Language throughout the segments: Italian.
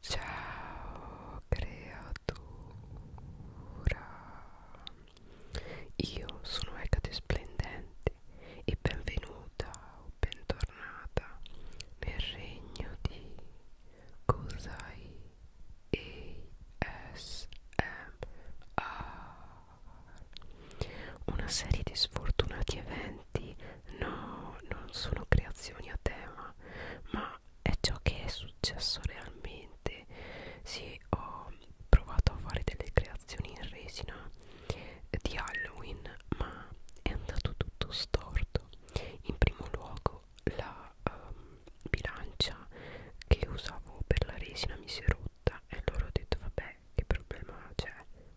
Ciao creatura, io sono Ecate Splendente e benvenuta o bentornata nel regno di Cosai ASMR, una serie di sfortunati eventi, no, non sono creazioni a tema, ma è ciò che è successo realmente sì ho provato a fare delle creazioni in resina di Halloween ma è andato tutto storto in primo luogo la um, bilancia che usavo per la resina mi si è rotta e allora ho detto vabbè che problema c'è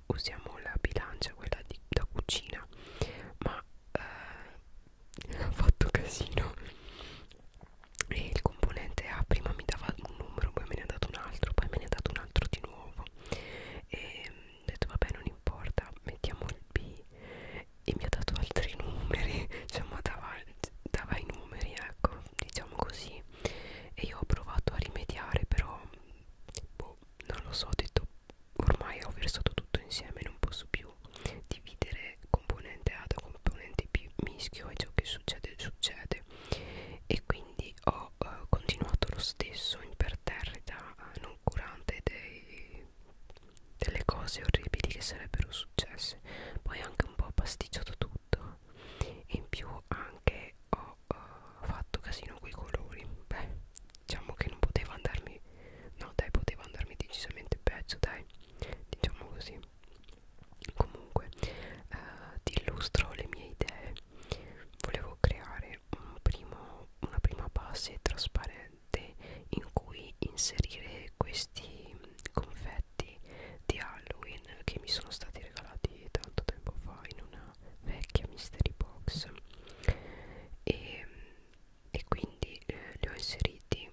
usiamo la bilancia quella di, da cucina ma eh, ha fatto casino e il componente A prima mi dava un numero poi me ne ha dato un altro poi me ne ha dato un altro di nuovo e ho detto vabbè non importa mettiamo il B e mi ha dato altri numeri cioè ma dava, dava i numeri ecco diciamo così e io ho provato a rimediare però boh non lo so ho detto ormai ho versato tutto insieme non posso più dividere componente A da componente B mischio e ciò che succede succede e quindi ho eh, continuato lo stesso imperterrita eh, non curante dei, delle cose orribili che sarebbero successe poi anche un po' pasticciato tutto e in più anche ho eh, fatto casino coi colori beh diciamo che non poteva andarmi no dai poteva andarmi decisamente peggio dai diciamo così comunque eh, ti illustro le mie idee volevo creare un primo, una prima base trasparente in cui inserire questi confetti di Halloween che mi sono stati regalati tanto tempo fa in una vecchia mystery box e e quindi eh, li ho inseriti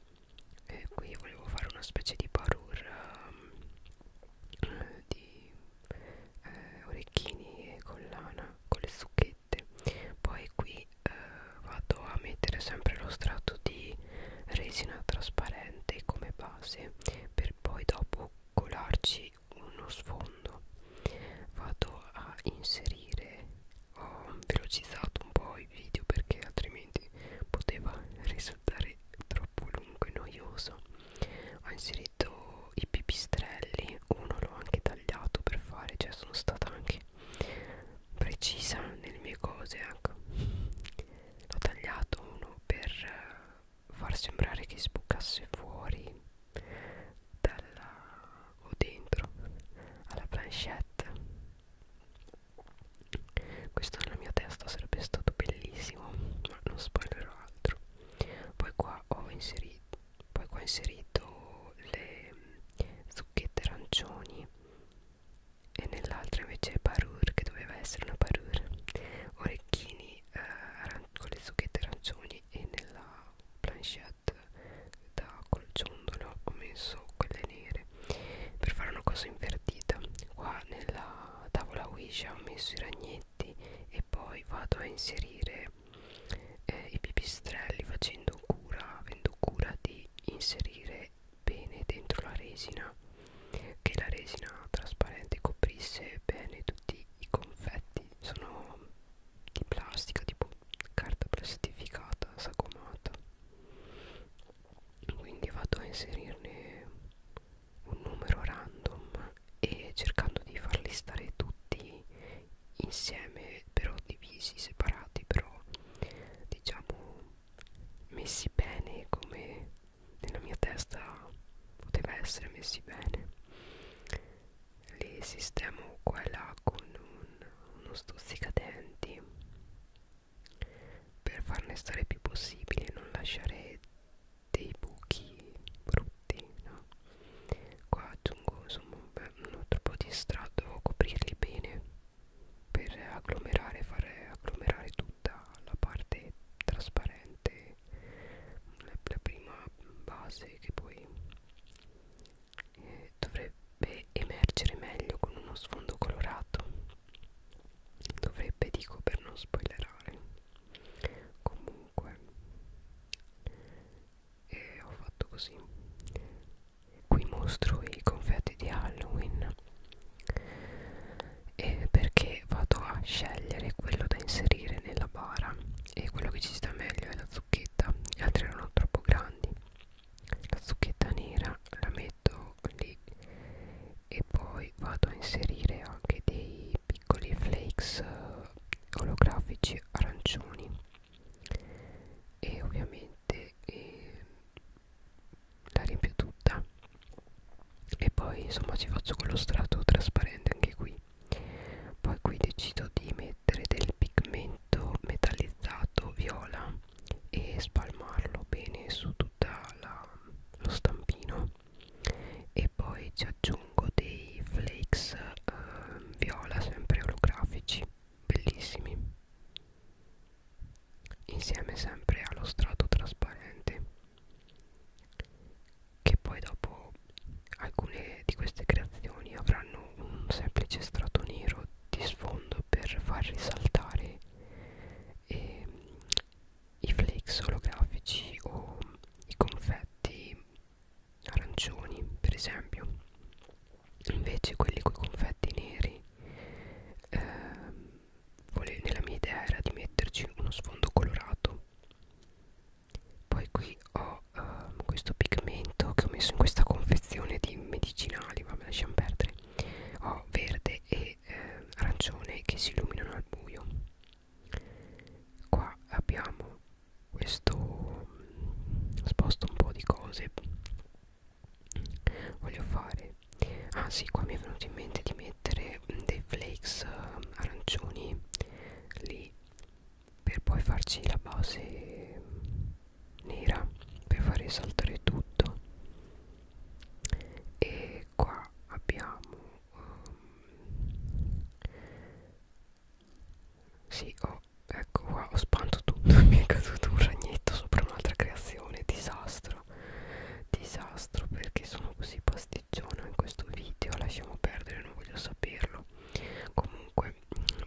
eh, qui volevo fare una specie di parure ehm, eh, di eh, orecchini e collana con le zucchette poi qui eh, vado a mettere sempre lo strato di resina trasparente come base per poi dopo colarci uno sfondo vado a inserire ho velocizzato un po' i video perché altrimenti poteva risultare troppo lungo e noioso ho inserito i pipistrelli uno l'ho anche tagliato per fare cioè sono stata anche precisa nelle mie cose ecco l'ho tagliato uno per far sembrare che sbucasse fuori dalla o dentro alla planchette questo nella mia testa sarebbe stato bellissimo ma non spoilerò altro poi qua ho inserito poi qua ho inserito le mm, zucchette arancioni e nell'altra invece parure che doveva essere una parure orecchini eh, con le zucchette arancioni e nella planchette set da col ciondolo ho messo quelle nere per fare una cosa invertita qua nella tavola Ouija ho messo i ragnetti e poi vado a inserire eh, i pipistrelli facendo cura avendo cura di inserire bene dentro la resina che la resina trasparente coprisse bene tutti i confetti sono di plastica tipo carta plastificata sagomata quindi vado a inserirne un numero random e cercando di farli stare tutti insieme però divisi separati però diciamo messi bene come nella mia testa poteva essere messi bene li sistemo qua e là con un, uno stuzzicadenti per farne stare più possibile e non lasciare dei buchi brutti no? qua aggiungo insomma beh, un altro po' di strato devo coprirli bene per agglomerare fare agglomerare tutta la parte trasparente la prima base che poi eh, dovrebbe emergere meglio con uno sfondo colorato dovrebbe dico per non spoilerare comunque eh, ho fatto così qui mostro i confetti di Halloween eh, perché vado a scegliere quello da inserire nella bara e quello che ci sta meglio è la zucchetta gli altri erano troppo grandi la zucchetta nera la metto lì e poi vado a inserire anche dei piccoli flakes eh, olografici arancioni e ovviamente eh, la riempio tutta e poi insomma ci faccio con lo strato trasparente anche qui poi qui decido di mettere del pigmento prodotto metallizzato viola e spalmarlo bene su tutto lo stampino e poi ci aggiungo dei flakes eh, viola sempre olografici bellissimi insieme sempre allo strato trasparente che poi dopo alcune di queste creazioni avranno un semplice strato nero di sfondo per far risaltare eh, i flakes olografici o i confetti arancioni per esempio invece quelli con i confetti neri eh, nella mia idea era di metterci uno sfondo colorato poi qui ho ho ehm, uh, questo pigmento che ho messo in questa confezione di medicinali vabbè lasciamo perdere ho verde e eh, arancione che si illuminano al buio qua abbiamo questo mm, sposto un po' di cose voglio fare ah sì qua mi è venuto in mente di mettere mm, dei flakes ehm, arancioni lì per poi farci la base nera per fare saltare tutto e qua abbiamo um, sì oh, ecco qua ho spanto tutto mi è caduto un ragnetto sopra un'altra creazione disastro disastro perché sono così pasticciona in questo video lasciamo perdere non voglio saperlo comunque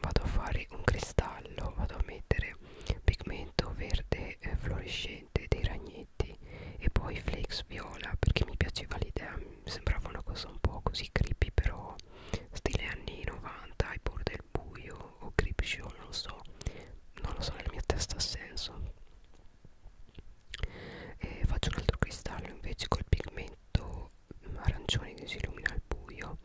vado a fare un cristallo vado a mettere pigmento verde eh, fluorescente dei ragnetti e poi flakes viola perché mi piaceva l'idea sembrava una cosa un po' così creepy però stile anni 90 ai bordi del buio o creep show non lo so non lo so nella mia testa ha senso e faccio un altro cristallo invece col pigmento arancione che si illumina al buio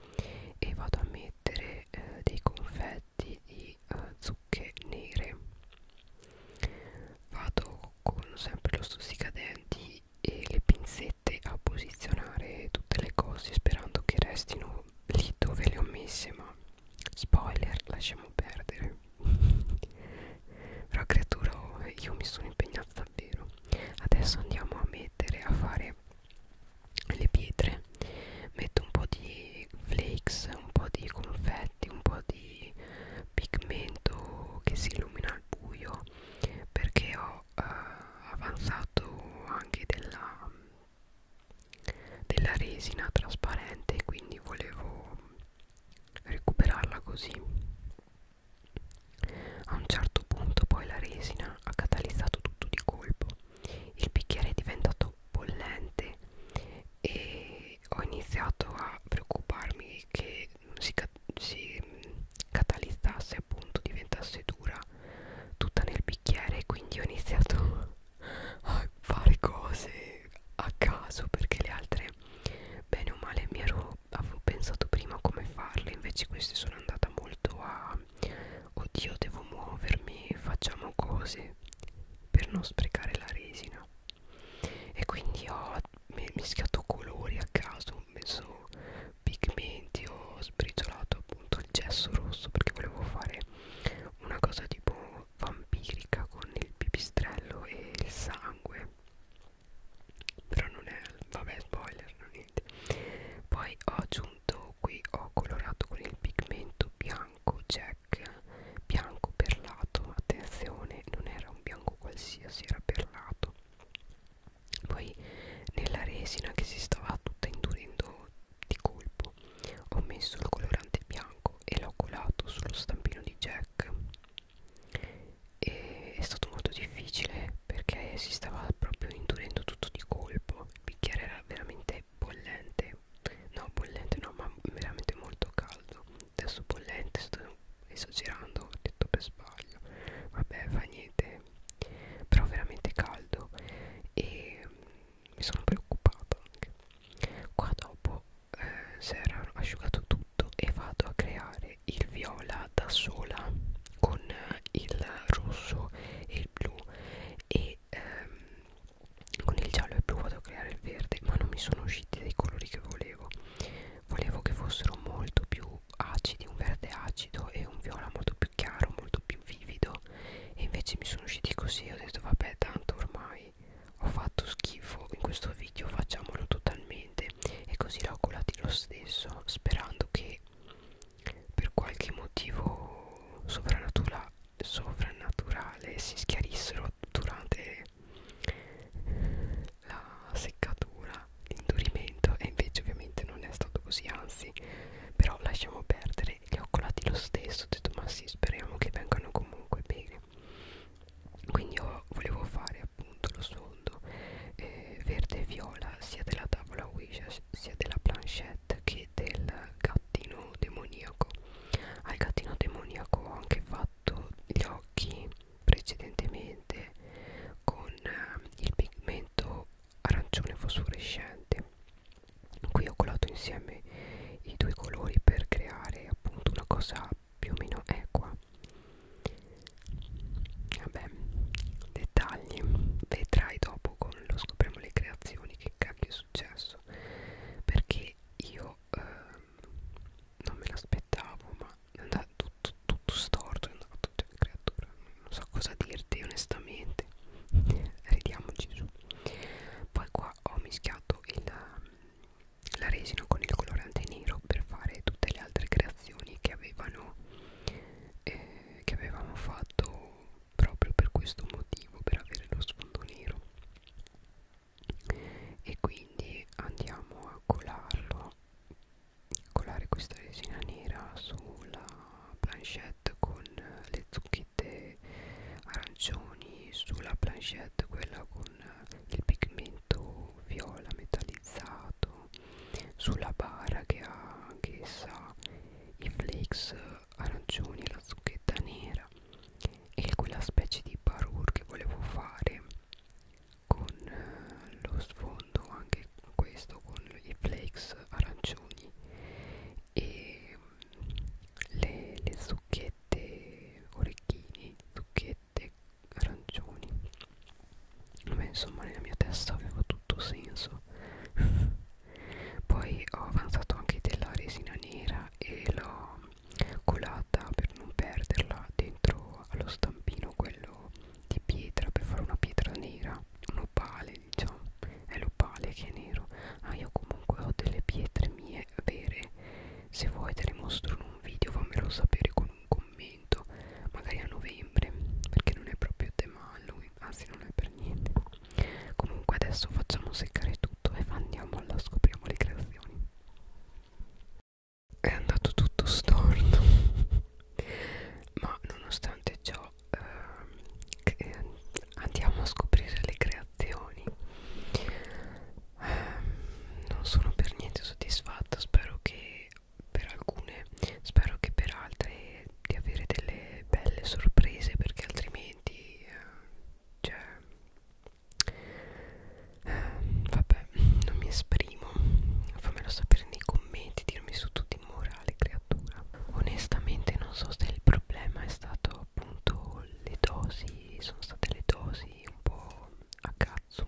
e vado a mettere eh, dei confetti di eh, zucche nere vado con sempre lo stuzzicadenti e le pinzette a posizionare tutte le cose sperando che restino lì dove le ho messe ma spoiler lasciamo perdere però creatura io mi sono impegnata davvero adesso andiamo a mettere a fare le, le pietre metto un po' di flakes un po' di confetti un po' di pigmento che si illumina al buio perché ho eh, avanzato anche della, della resina trasparente quindi volevo recuperarla così a un certo punto poi la resina ha catalizzato tutto di colpo il bicchiere è diventato bollente e ho iniziato a preoccuparmi che si, si catalizzasse appunto diventasse dura tutta nel bicchiere quindi ho iniziato a fare cose a caso perché le altre bene o male mi ero avevo pensato prima come farle invece queste sono andata molto a oddio devo muovermi facciamo cose per non sprecare la resina e quindi ho mischiato colori a caso ho messo pigmenti ho sbriciolato appunto il gesso rosso perché volevo fare una cosa tipo vampirica con il pipistrello e il sangue però non è vabbè spoiler non niente poi ho aggiunto pigmento qui ho colorato con il pigmento bianco jack bianco perlato attenzione non era un bianco qualsiasi era perlato poi nella resina che si stava tutta indurendo di colpo ho messo il colorante bianco e l'ho colato sullo stampino di jack e è stato molto difficile perché si stava proprio indurendo tutto di colpo il bicchiere era veramente bollente no bollente no ma veramente molto caldo adesso bollente sto esagerando ho detto per sbaglio vabbè fa niente però veramente caldo e mm, mi sono preoccupata anche qua dopo eh, si era asciugato tutto e vado a creare il viola da sola con il rosso e il blu e ehm, con il giallo e il blu vado a creare il verde ma non mi sono usciti dei colori che volevo volevo che fossero molto più acidi un verde acido e un viola molto più chiaro molto più vivido e invece mi sono usciti così ho detto vabbè tanto ormai ho fatto schifo in questo video facciamolo totalmente e così l'ho colati lo stesso sperando che per qualche motivo sovrannatura sovrannaturale si schiarissero durante la seccatura, l'indurimento e invece ovviamente non è stato così, anzi però lasciamo perdere, li ho colati lo stesso, ho detto ma sì speriamo che vengano comunque bene quindi io volevo fare appunto lo sfondo eh, verde e viola sia della tavola Ouija sia della planchette che del gattino demoniaco al gattino demoniaco ho anche fatto gli occhi precedentemente con eh, il pigmento arancione fosforescente qui ho colato insieme i due colori per creare appunto una cosa più o meno equa vabbè dettagli vedrai dopo collo scopriamo le creazioni che cacchio è successo perché io ehm, non me l'aspettavo ma è andato tutto, tutto storto è andato cioè, creatura non so cosa dirti onestamente ridiamoci su poi qua ho mischiato il, la resina con il colorante nero per fare tutte le altre creazioni che avevano eh, che avevamo fatto proprio per questo motivo per avere lo sfondo nero e quindi andiamo a colarlo colare questa resina nera sulla planchette con le zucchette arancioni sulla planchette quella con il pigmento viola metallizzato sulla bara che ha anch'essa i flakes arancioni e la zucchetta nera e quella specie di parkour che volevo fare con eh, lo sfondo anche questo con i flakes arancioni e mm, le, le zucchette orecchini zucchette arancioni Beh, insomma nella mia testa aveva tutto senso poi ho avanzato anche della resina nera e l'ho colata per non perderla dentro allo stampino quello di pietra per fare una pietra nera un opale diciamo è l'opale che è nero ah io comunque ho delle pietre mie vere se vuoi te le mostro in un video fammelo sapere con un commento magari a novembre perché non è proprio tema Halloween anzi non è per niente comunque adesso facciamo seccare tutto e andiamo alla scopriamo le creazioni è andato tutto storto ma nonostante ciò eh, andiamo a scoprire le creazioni eh, non sono per niente soddisfatta spero che per alcune spero che per altre di avere delle belle sorprese perché altrimenti eh, cioè eh, vabbè non mi esprimo fammelo sapere nei commenti dirmi su tutti in morale creatura onestamente non so se il problema è stato appunto le dosi sono state le dosi un po' a cazzo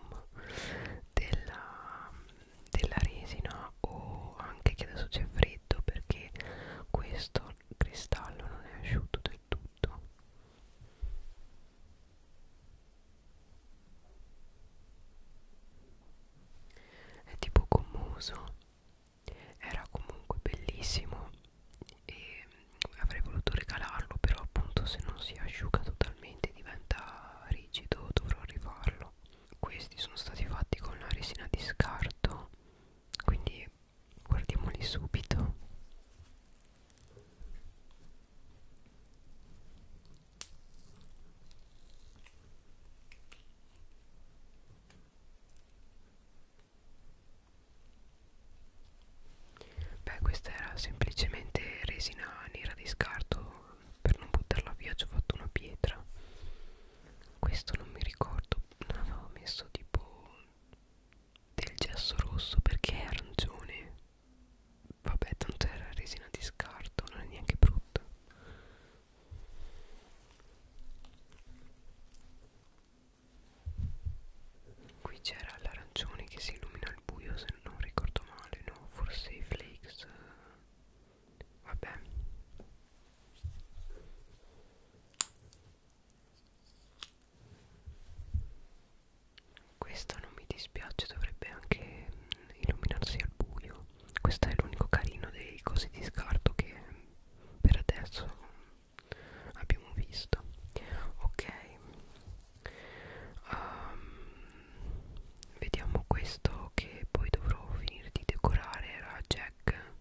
della della resina o anche che adesso c'è freddo perché questo cristallo non è asciutto del tutto è tipo commuso era comunque bellissimo e avrei voluto regalarlo però appunto se non si asciuga totalmente diventa rigido dovrò rifarlo questi sono stati fatti con la resina di scarto quindi guardiamoli subito beh questa era semplicemente resina nera di scarto per non buttarla via ci ho fatto una pietra questo non mi ricordo avevo messo tipo del gesso rosso perché è arancione vabbè tanto era resina di scarto non è neanche brutta qui c'era l'arancione che si illumina al buio se non ricordo male no forse i flakes Vabbè. Questa non mi dispiace, dovrebbe anche illuminarsi al buio. Questo è l'unico carino dei cosi di scarto che per adesso abbiamo visto. Ok. Um, vediamo questo che poi dovrò finire di decorare era Jack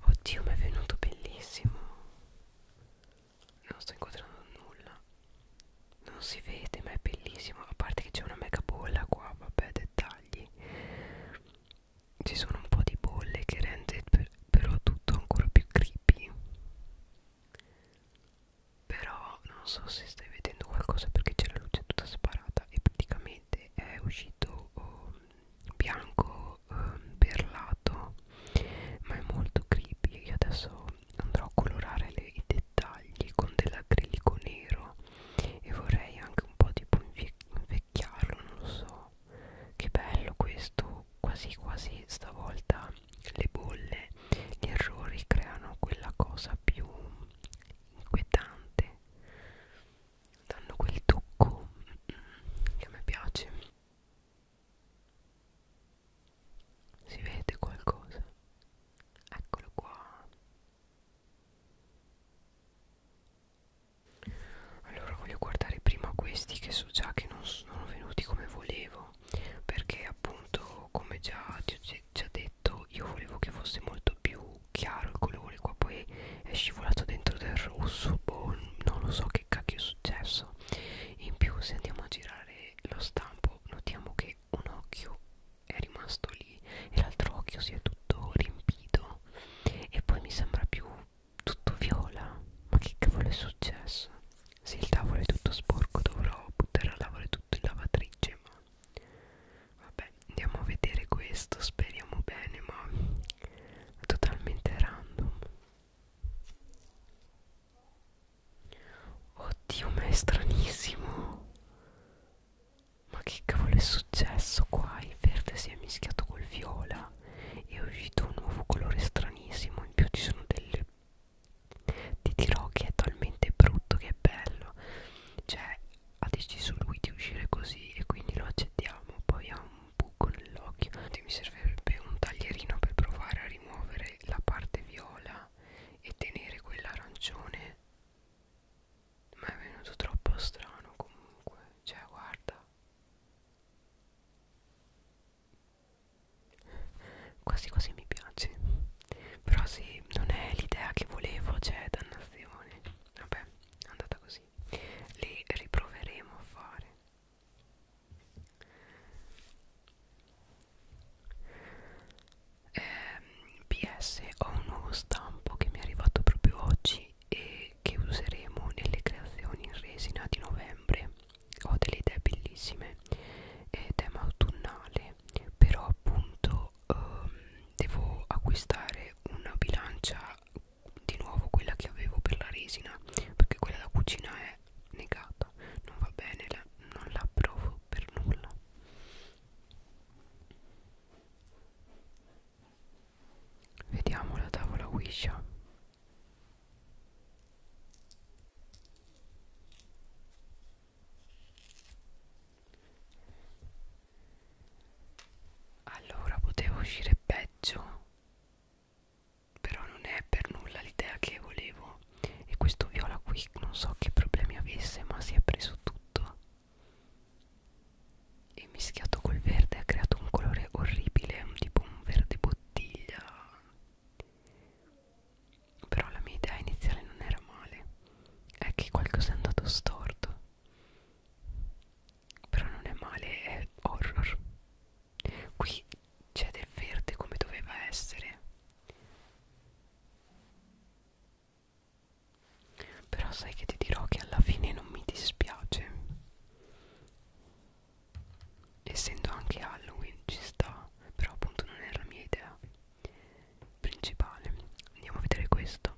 Oddio mi è venuto bellissimo Non sto inquadrando nulla Non si vede ma è bellissimo A parte che c'è una mega bolla qua Vabbè dettagli Ci sono un po' di bolle che rende per, però tutto ancora più creepy però non so se stai vedendo qualcosa perché c'è la luce tutta sparata e praticamente è uscito um, bianco um, perlato ma è molto creepy io adesso andrò a colorare le, i dettagli con dell'acrilico nero e vorrei anche un po' tipo invecchiarlo non lo so che bello questo quasi quasi stavolta le bolle, gli errori creano quella cosa più inquietante, danno quel tocco mm, che a me piace. Si vede qualcosa? Eccolo qua. Allora voglio guardare prima questi che so già che non sono venuti come volevo perché appunto come già ti ho già detto io volevo che fosse molto più chiaro il colore qua poi è scivolato dentro del rosso boh, non lo so che cacchio è successo in più se andiamo a girare lo stampo notiamo che un occhio è rimasto lì e l'altro occhio si è tutto riempito e poi mi sembra più tutto viola ma che cavolo è successo se il tavolo è tutto sporco dovrò buttare a lavare tutto in lavatrice legge ma vabbè andiamo a vedere questo speriamo bene ma è totalmente random oddio ma è stranissimo ma che cavolo è successo qua il verde si è mischiato col viola e è uscito un nuovo colore stranissimo in più ci sono delle ti dirò che è talmente brutto che è bello cioè ha deciso lui di uscire così e quindi lo accettiamo poi ha un buco nell'occhio mi servirebbe un taglierino per provare a rimuovere la parte viola e tenere quella arancione ma è venuto troppo strano comunque cioè guarda quasi quasi mi piace però sì non è l'idea che volevo cioè dannazione vabbè è andata così li riproveremo a fare eh, PS ho un nuovo stampo che mi è arrivato proprio oggi e che useremo nelle creazioni in resina di novembre ho delle idee bellissime è tema autunnale però appunto ehm, devo acquistare una bilancia di nuovo quella che avevo per la resina perché quella da cucina è negata non va bene la, non la provo per nulla vediamo la tavola wisha allora potevo uscire peggio, però non è per nulla l'idea che volevo. E questo viola qui non so che problemi avesse, ma si è preso tutto. E mischiato col verde ha creato un colore orribile, tipo un verde bottiglia però la mia idea iniziale non era male, è che qualcosa è andato storto. Però non è male, è horror. Qui c'è del verde come doveva essere. Però sai che ti dirò che alla fine non mi dispiace. Essendo anche Halloween ci sta, però appunto non era la mia idea principale andiamo a vedere questo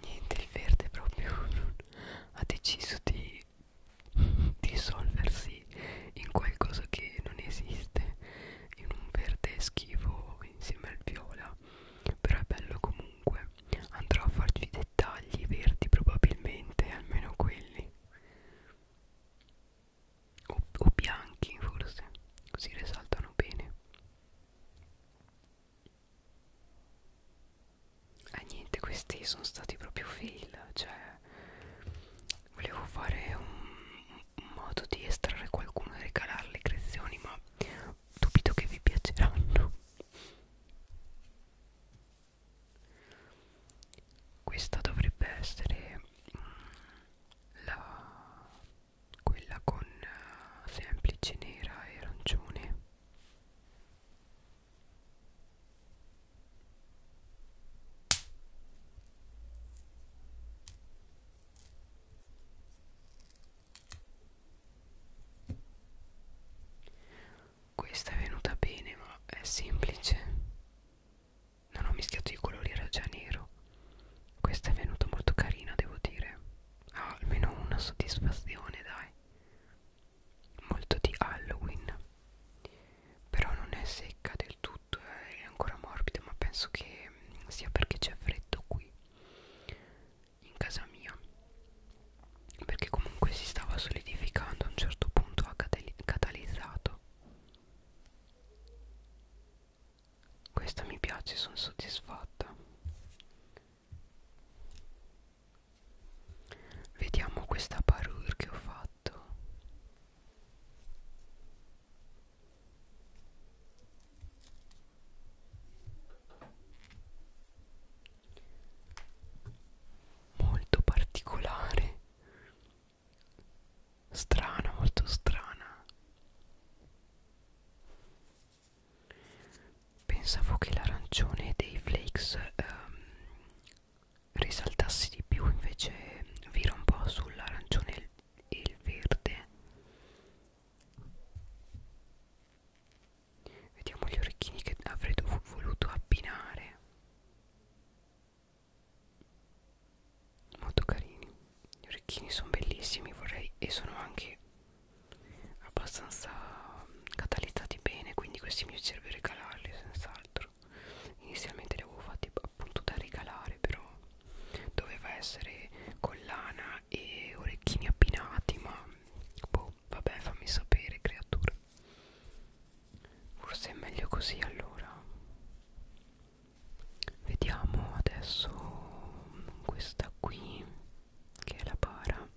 Niente, il verde proprio ha deciso di dissolversi in qualcosa che non esiste, in un verde schifo insieme al viola, però è bello comunque, andrò a farci i dettagli verdi probabilmente, almeno quelli, o, o bianchi forse, così risaltano bene eh, niente questi sono stati proprio fail cioè volevo fare un, un modo di estrarre qualcuno e regalare le creazioni ma dubito che vi piaceranno questa dovrebbe essere mm, la quella con eh, semplice nera e arancione questa è venuta bene, ma è semplice. Non ho mischiato i colori, era già nero. Questa è venuta molto carina, devo dire. Ah, almeno una soddisfazione, dai molto di Halloween però non è secca del tutto eh, è ancora morbida ma penso che mm, sia perché c'è freddo qui in casa mia perché comunque si stava solidificando a un certo punto ha catalizzato questa mi piace sono soddisfatta Vediamo questa parure che ho fatto. Molto particolare. Strana, molto strana. Pensavo che l'arancione dei flakes ehm, risaltassi di più invece vira un po' sull'arancione e il verde vediamo gli orecchini che avrei voluto abbinare molto carini gli orecchini sono bellissimi vorrei e sono anche abbastanza mm, catalizzati bene quindi questi mi serve regalarli senz'altro altro inizialmente li avevo fatti appunto da regalare però doveva essere collana e orecchini abbinati ma boh vabbè fammi sapere creatura forse è meglio così allora vediamo adesso questa qui che è la para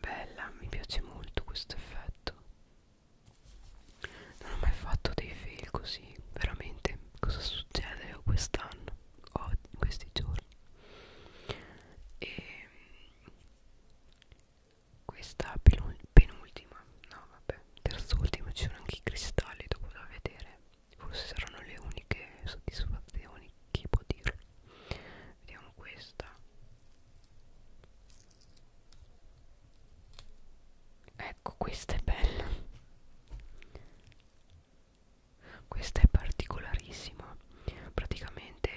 Bella, mi piace molto questo effetto. Non ho mai fatto dei fail così, veramente. Cosa succede quest'anno? O in questi giorni? E ehm, questa penultima, no vabbè, terz'ultima, ci sono anche i cristalli dopo da vedere. Forse saranno le uniche soddisfazioni chi può dirlo vediamo questa ecco questa è bella questa è particolarissima praticamente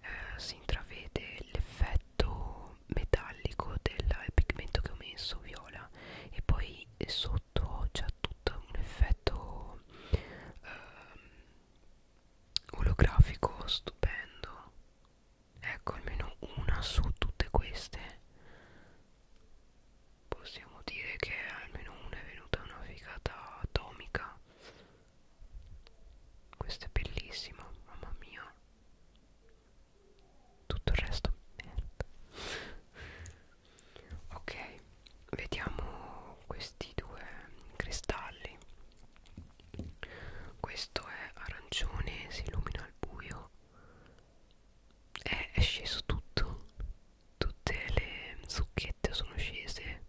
eh, si intravede l'effetto metallico del pigmento che ho messo viola e poi sotto c'è tutto un effetto ehm, olografico stupendo ecco almeno una su tutte queste possiamo dire che almeno una è venuta una figata atomica questa è bellissima mamma mia tutto il resto merda ok vediamo questi due cristalli questo è arancione si illumina al buio è, eh, è sceso tutto tutte le zucchette sono scese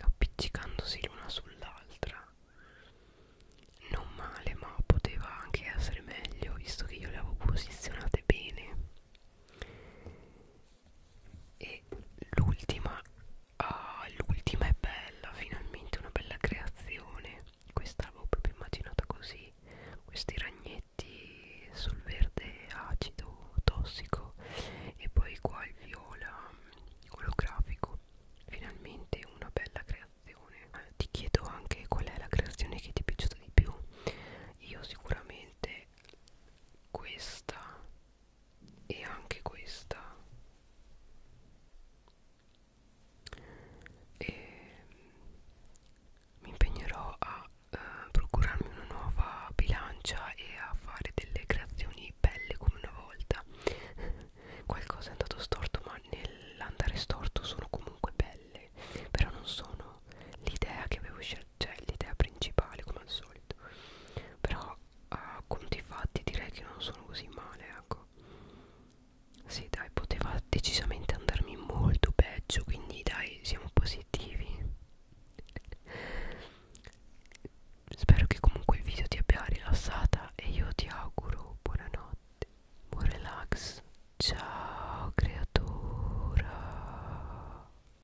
appiccicandosi l'una sull'altra non male ma poteva anche essere meglio visto che io le avevo posizionate bene e l'ultima ah, l'ultima è bella finalmente una bella creazione questa l'avevo proprio immaginata così questi ragnetti sul verde acido tossico e poi qua il viola mm, olografico finalmente una bella creazione eh, ti chiedo anche qual è la creazione che ti è piaciuta di più io sicuramente questa e anche questa e mi impegnerò a eh, procurarmi una nuova bilancia e a fare delle creazioni belle come una volta qualcosa è andato storto ma nell'andare storto sono comunque belle però non sono l'idea che avevo c'è l'idea principale come al solito però a eh, conti fatti direi che non sono così male ecco sì dai poteva decisamente andarmi molto peggio quindi dai siamo positivi spero che comunque il video ti abbia rilassata e io ti auguro buonanotte buon relax ciao creatura